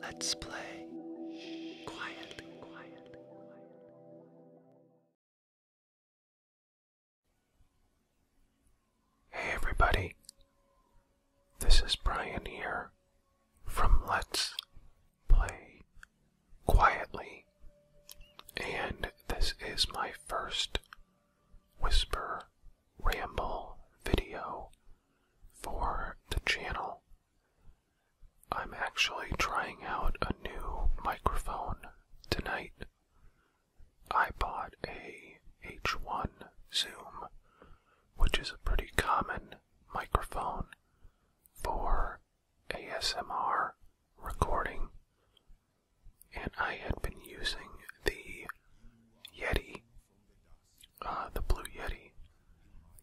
Let's play quietly, Hey everybody, this is Brian here from Let's Play Quietly, and this is my first Whisper Ramble video for the channel. I'm actually trying out a new microphone tonight. I bought a H1 Zoom, which is a pretty common microphone for ASMR recording, and I had been using the Yeti uh, the Blue Yeti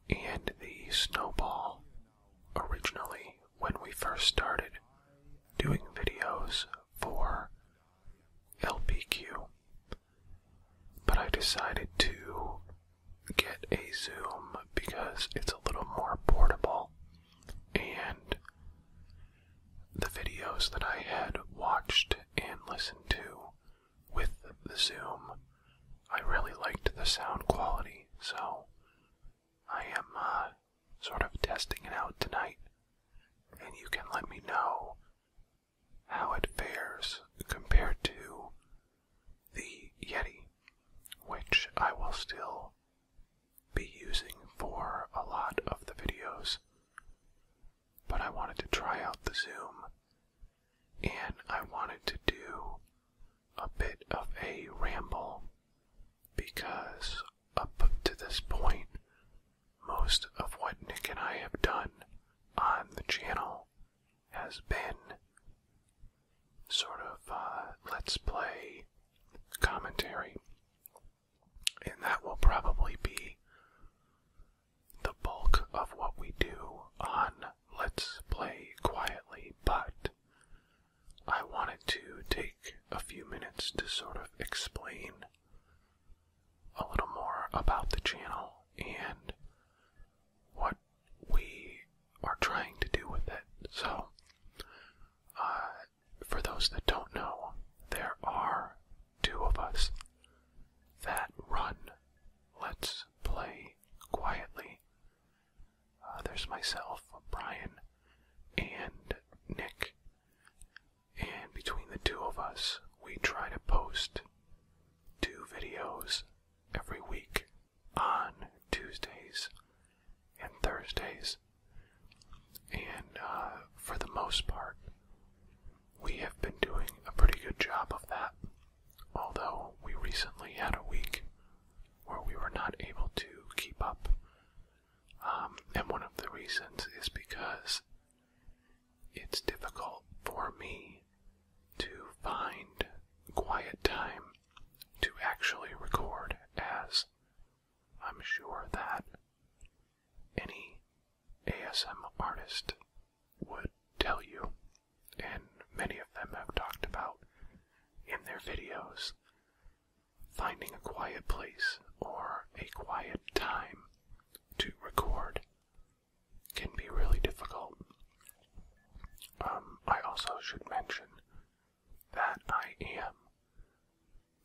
and the Snowball originally when we first started doing videos for LPQ. But I decided to get a Zoom because it's a little more portable and the videos that I had watched and listened to with the zoom, I really liked the sound quality, so I am uh, sort of testing it out tonight, and you can let me know how it fares compared to the Yeti, which I will still be using for a lot of the videos but I wanted to try out the Zoom and I wanted to do a bit of a ramble because up to this point, most of what Nick and I have done on the channel has been sort of uh, let's play commentary. And that will probably be the bulk of what we do on Let's Play Quietly, but I wanted to take a few minutes to sort of explain a little more about the channel and what we are trying to do with it. So, uh, for those that don't know, there are two of us. That run. Let's play quietly. Uh, there's myself, Brian, and Nick. And between the two of us, we try to post two videos every week on Tuesdays and Thursdays. And uh, for the most part, we have been doing a pretty good job of that, although we recently had a week where we were not able to keep up. Um, and one of the reasons is because it's difficult for me to find quiet time to actually record, as I'm sure that any ASM artist would tell you, and many of them have talked about in their videos, finding a quiet place or a quiet time to record can be really difficult. Um, I also should mention that I am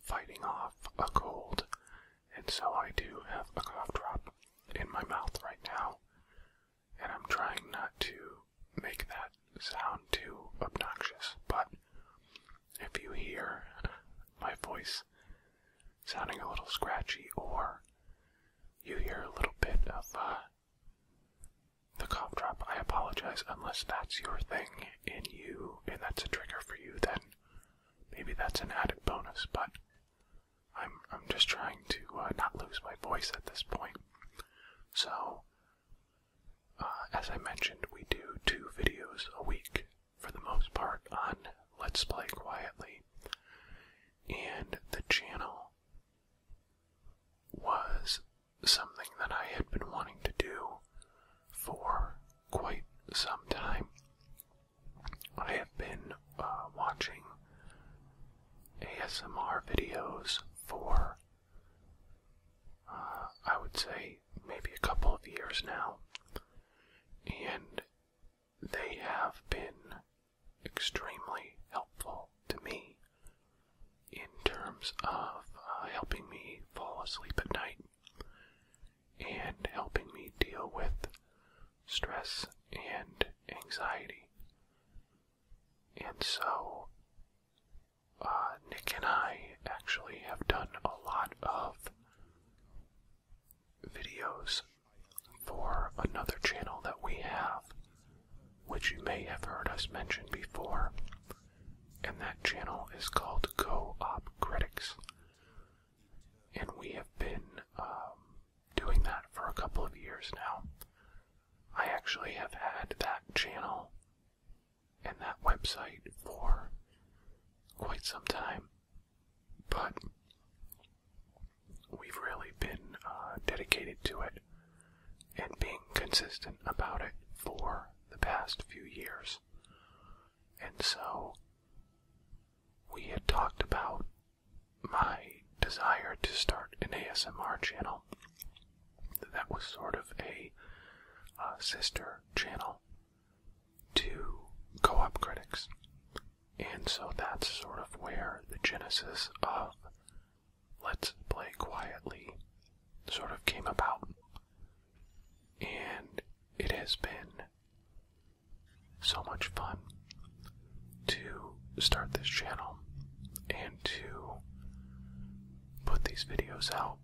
fighting off a cold, and so I do have a cough drop in my mouth right now, and I'm trying not to make that sound too obnoxious, but if you hear my voice sounding a little scratchy or you hear a little bit of uh, the cough drop, I apologize unless that's your thing in you and that's a trigger for you, then maybe that's an added bonus, but I'm I'm just trying to uh, not lose my voice at this point. So, uh, as I mentioned, we do two videos a week for the most part on Let's Play Quietly, and the channel was something that I had been wanting to do for quite some time. I have been uh, watching ASMR videos for, uh, I would say, maybe a couple of years now, and they have been extremely helpful to me in terms of uh, helping me fall asleep at night and helping me deal with stress and anxiety. And so, uh, Nick and I actually have done a lot of videos for another channel that we have, which you may have heard us mention before, and that channel is called Co op Critics and we have been um, doing that for a couple of years now. I actually have had that channel and that website for quite some time, but we've really been uh, dedicated to it and being consistent about it for the past few years. And so, we had talked about my desire to start an ASMR channel. That was sort of a uh, sister channel to Co op Critics. And so that's sort of where the genesis of Let's Play Quietly sort of came about. And it has been so much fun to start this channel and to put these videos out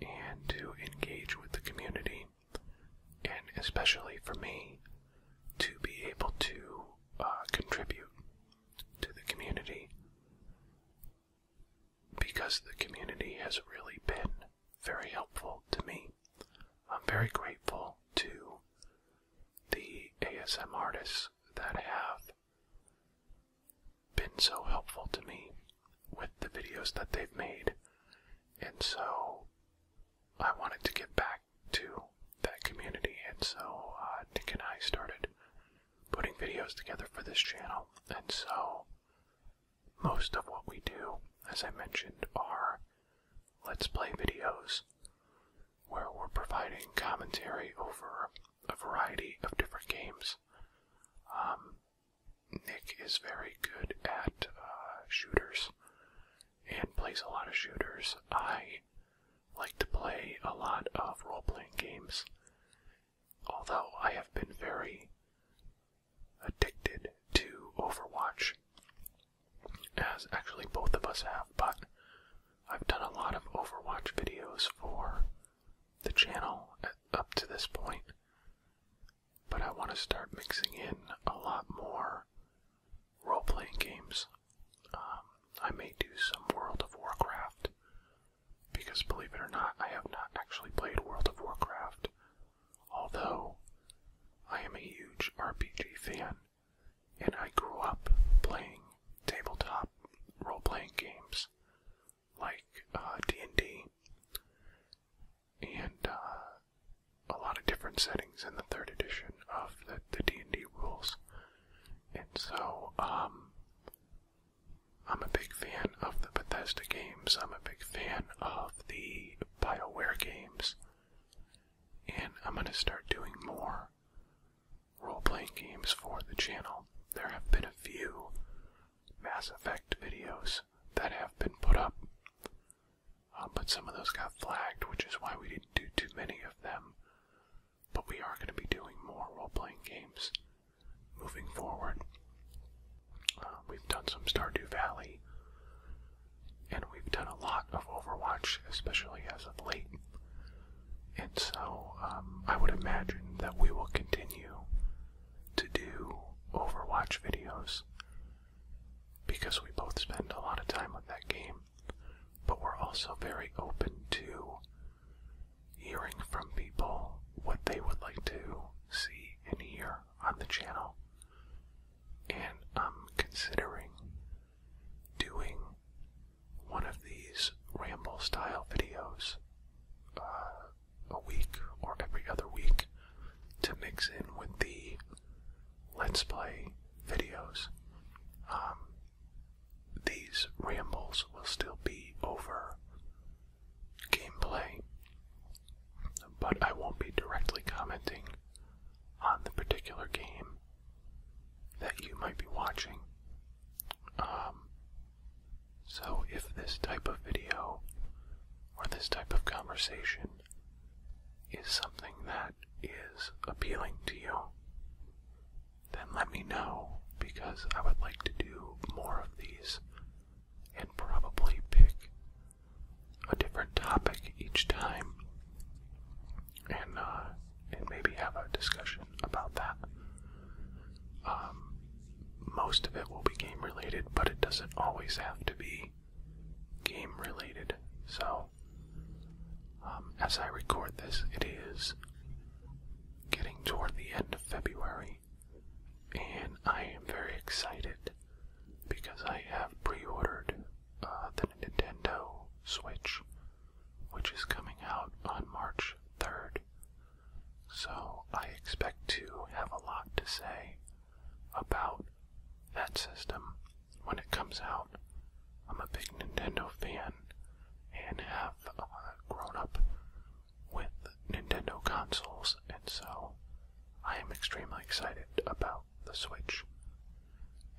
and to engage with the community, and especially for me to be able to uh, contribute to the community because the community has really been very helpful to me. I'm very grateful to the ASM artists that have been so helpful to me with the videos that they've made. And so I wanted to give back to that community. And so uh, Nick and I started putting videos together for this channel. And so most of what we do, as I mentioned, are Let's Play videos, where we're providing commentary over a variety of different games. Um, Nick is very good at uh, shooters and plays a lot of shooters. I like to play a lot of role playing games although I have been very addicted to Overwatch, as actually both of us have, but I've done a lot of Overwatch videos for the channel up to this point. But I want to start mixing in a lot more role playing games. Um, I may do some World of Warcraft because believe it or not, I have not actually played World of Warcraft, although I am a huge RPG fan and I grew up playing tabletop role-playing games like D&D uh, and uh, a lot of different settings in the third edition of the D&D rules. And so, um, I'm a big fan of the Bethesda games. I'm a big fan of the BioWare games. And I'm going to start doing more role playing games for the channel. There have been a few Mass Effect videos that have been put up, uh, but some of those got flagged, which is why we didn't do too many of them. But we are going to be doing more role playing games moving forward. Uh, we've done some Stardew Valley, and we've done a lot of Overwatch, especially as of late. And so um, I would imagine that we will continue to do Overwatch videos because we both spend a lot of time on that game, but we're also very open to hearing from people what they would like to see and hear on the channel. And I'm considering doing one of these ramble style videos uh, a week or every other week to mix in with the Let's Play videos. Um, these rambles will still be over gameplay, but I won't be directly commenting on the particular game that you might be watching. Um, so, if this type of video or this type of conversation is something that is appealing to you, then let me know because I would like to do more of these and probably pick a different topic each time and uh, and maybe have a discussion about that. Um, most of it will be game related, but it doesn't always have to be game related. So, um, as I record this, it is getting toward the end of February, and I am very excited because I have pre ordered uh, the Nintendo Switch, which is coming out on March 3rd. So I expect to have a lot to say about that system when it comes out. I'm a big Nintendo fan, and have uh, grown up with Nintendo consoles, and so I am extremely excited about the Switch.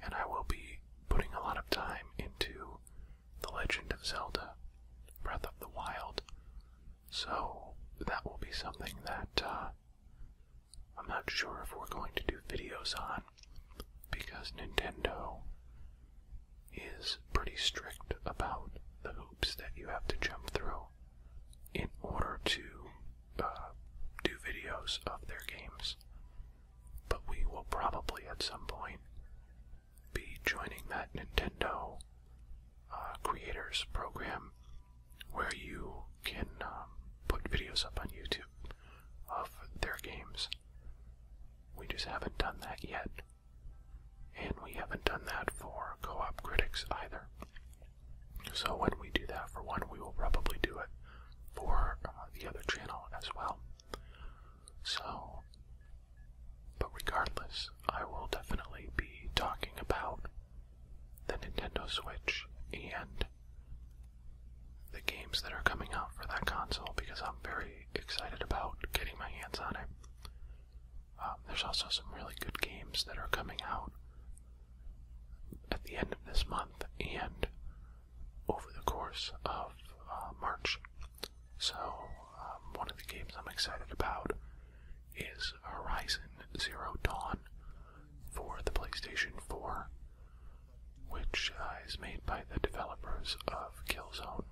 And I will be putting a lot of time into The Legend of Zelda Breath of the Wild, so that will be something that uh, I'm not sure if we're going to do videos on because Nintendo is pretty strict about the hoops that you have to jump through in order to uh, do videos of their games. But we will probably at some point be joining that Nintendo uh, Creators Program where you can um, put videos up on YouTube of their games. We just haven't done that yet. And we haven't done that for co op critics either. So when we do that for one, we will probably do it for uh, the other channel as well. So, but regardless, I will definitely be talking about the Nintendo Switch and the games that are coming out for that console because I'm very excited about getting my hands on it. Um, there's also some really good games that are coming out at the end of this month and over the course of uh, March. So, um, one of the games I'm excited about is Horizon Zero Dawn for the PlayStation 4, which uh, is made by the developers of Killzone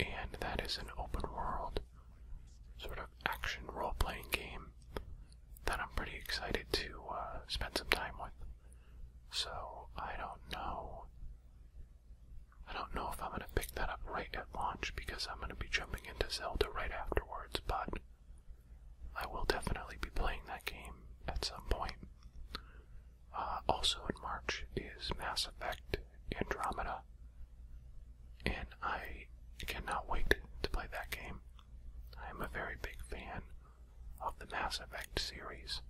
and that is an open world sort of action role playing game that I'm pretty excited to uh, spend some time with. So I don't know. I don't know if I'm gonna pick that up right at launch because I'm gonna be jumping into Zelda right afterwards, but I will definitely be playing that game at some point. Uh, also in March is Mass Effect Andromeda, and I cannot wait to play that game. I am a very big fan of the Mass Effect series,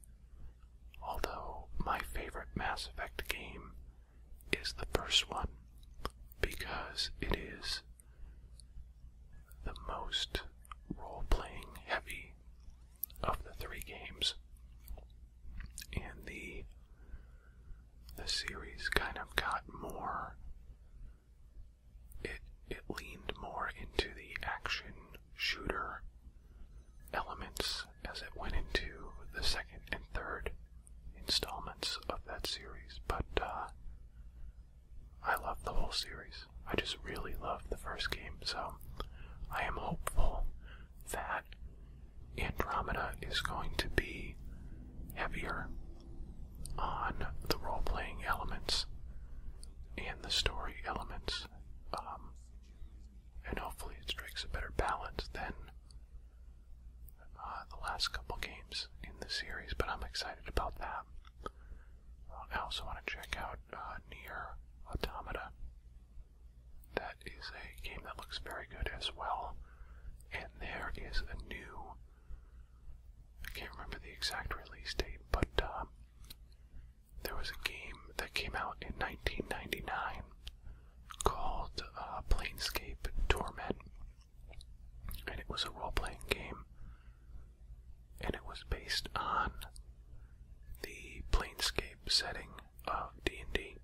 although my favorite Mass Effect game is the first one because it is the most role playing heavy of the three games. And the the series kind of got more it it leaned more into the action shooter elements as it went into the second and third installments of that series, but uh, I love the whole series. I just really love the first game, so I am hopeful that Andromeda is going to be heavier on the role playing elements and the story elements. Um, and hopefully it strikes a better balance than uh, the last couple games in the series, but I'm excited about that. Uh, I also want to check out uh, Near. Automata. That is a game that looks very good as well. And there is a new. I can't remember the exact release date, but um, there was a game that came out in 1999 called uh, Planescape Torment. And it was a role playing game and it was based on the plainscape setting of D&D,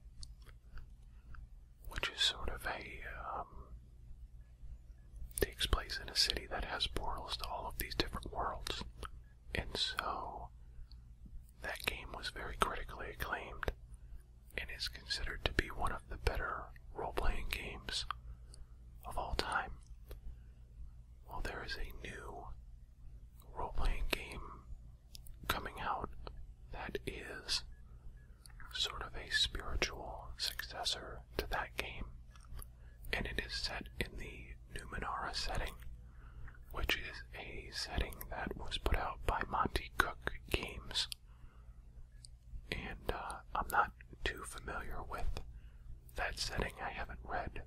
which is sort of a, um, takes place in a city that has portals to all of these different worlds, and so that game was very critically acclaimed and is considered to be one of the better role-playing games of all time. Well, there is a new role playing game coming out that is sort of a spiritual successor to that game, and it is set in the Numenara setting, which is a setting that was put out by Monty Cook Games. And uh, I'm not too familiar with that setting. I haven't read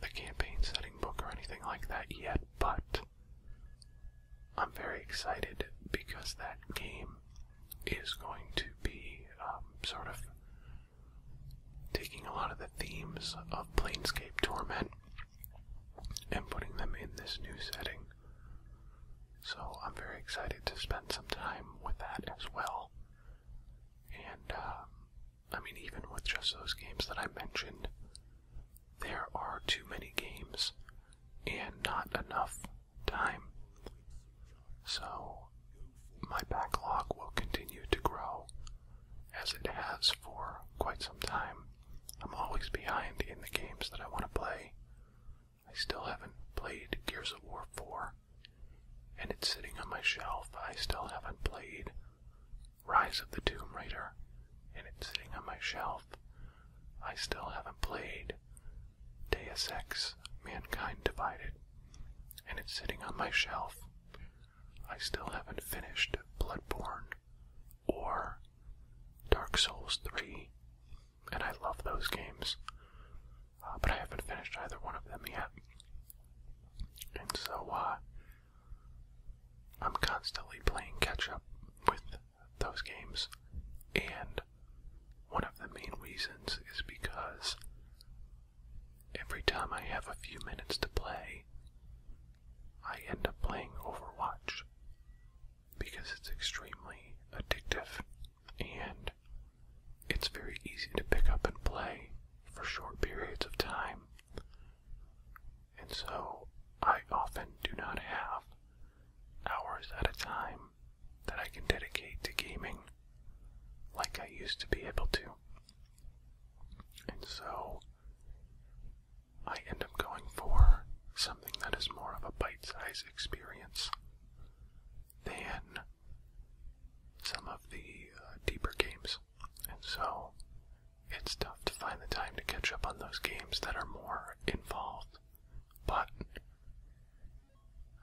the campaign setting book or anything like that yet, but I'm very excited because that game is going to be um, sort of taking a lot of the themes of Planescape Torment and putting them in this new setting. So I'm very excited to spend some time with that as well. And um, I mean, even with just those games that I mentioned, there are too many games and not enough time. So, my backlog will continue to grow as it has for quite some time. I'm always behind in the games that I want to play. I still haven't played Gears of War 4, and it's sitting on my shelf. I still haven't played Rise of the Tomb Raider, and it's sitting on my shelf. I still haven't played Deus Ex Mankind Divided, and it's sitting on my shelf. I still haven't finished Bloodborne or Dark Souls 3, and I love those games. Uh, but I haven't finished either one of them yet. And so uh, I'm constantly playing catch up with those games, and one of the main reasons is because every time I have a few minutes to play, I end up playing Overwatch because it's extremely addictive and it's very easy to pick up and play for short periods of time. And so I often do not have hours at a time that I can dedicate to gaming like I used to be able to. And so I end up going for something that is more of a bite sized experience than some of the uh, deeper games. And so it's tough to find the time to catch up on those games that are more involved. But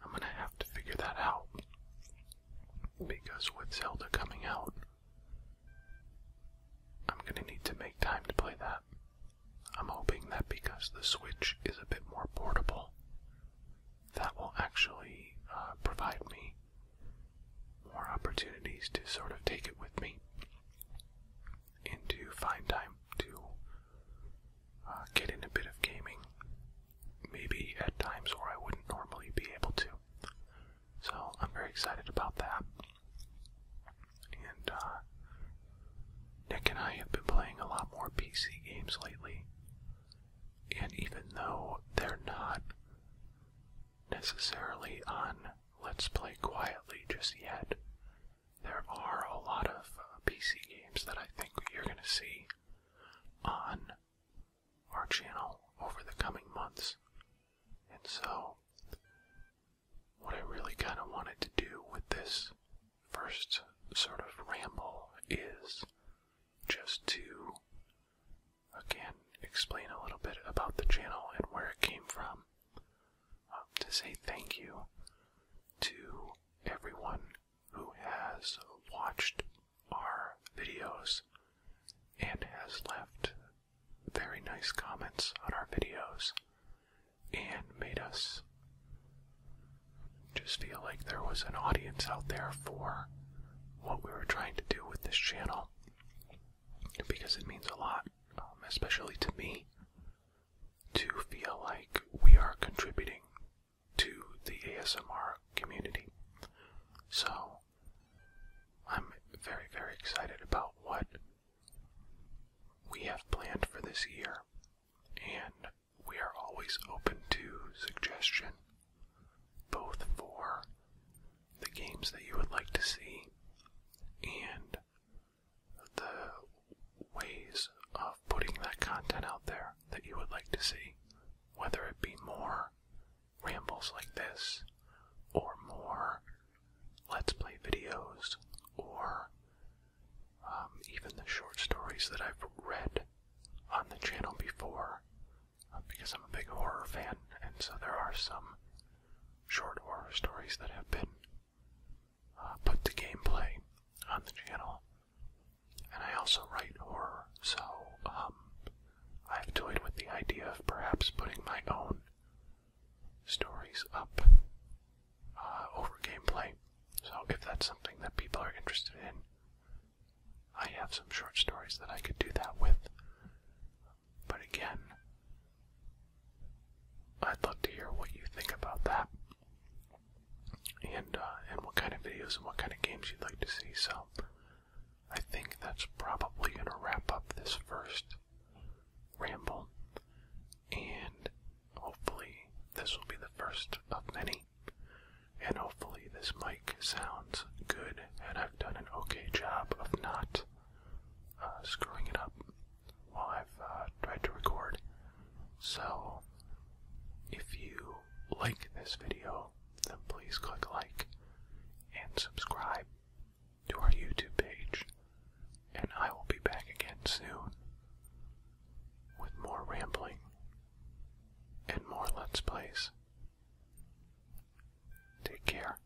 I'm going to have to figure that out. Because with Zelda coming out, I'm going to need to make time to play that. I'm hoping that because the Switch is a bit more portable, that will actually uh, provide me more opportunities to sort of take it with me and to find time to uh, get in a bit of gaming, maybe at times where I wouldn't normally be able to. So I'm very excited about that. And uh, Nick and I have been playing a lot more PC games lately. And even though they're not necessarily on Let's Play Quietly just yet, there are a lot of uh, PC games that I think you're going to see on our channel over the coming months. And so, what I really kind of wanted to do with this first sort of ramble is just to again explain a little bit about the channel and where it came from. Um, to say thank you to everyone who has watched our videos and has left very nice comments on our videos and made us just feel like there was an audience out there for what we were trying to do with this channel because it means a lot, um, especially to me, to feel like we are contributing to the ASMR community. So, I'm very, very excited about what we have planned for this year, and we are always open to suggestion, both for the games that you would like to see and the ways of putting that content out there that you would like to see, whether it be more rambles like this, or more Let's Play videos, or um, even the short stories that I've read on the channel before, uh, because I'm a big horror fan, and so there are some short horror stories that have been uh, put to gameplay on the channel. And I also write horror, so um, I've toyed with the idea of perhaps putting my own stories up uh, over gameplay. So if that's something that people are interested in, I have some short stories that I could do that with. But again, I'd love to hear what you think about that, and uh, and what kind of videos and what kind of games you'd like to see. So I think that's probably gonna wrap up this first ramble, and Hopefully, this will be the first of many, and hopefully, this mic sounds good and I've done an okay job of not uh, screwing it up while I've uh, tried to record. So, if you like this video, then please click like and subscribe to our YouTube page, and I will be back again soon with more rambling and more Let's Plays. Take care.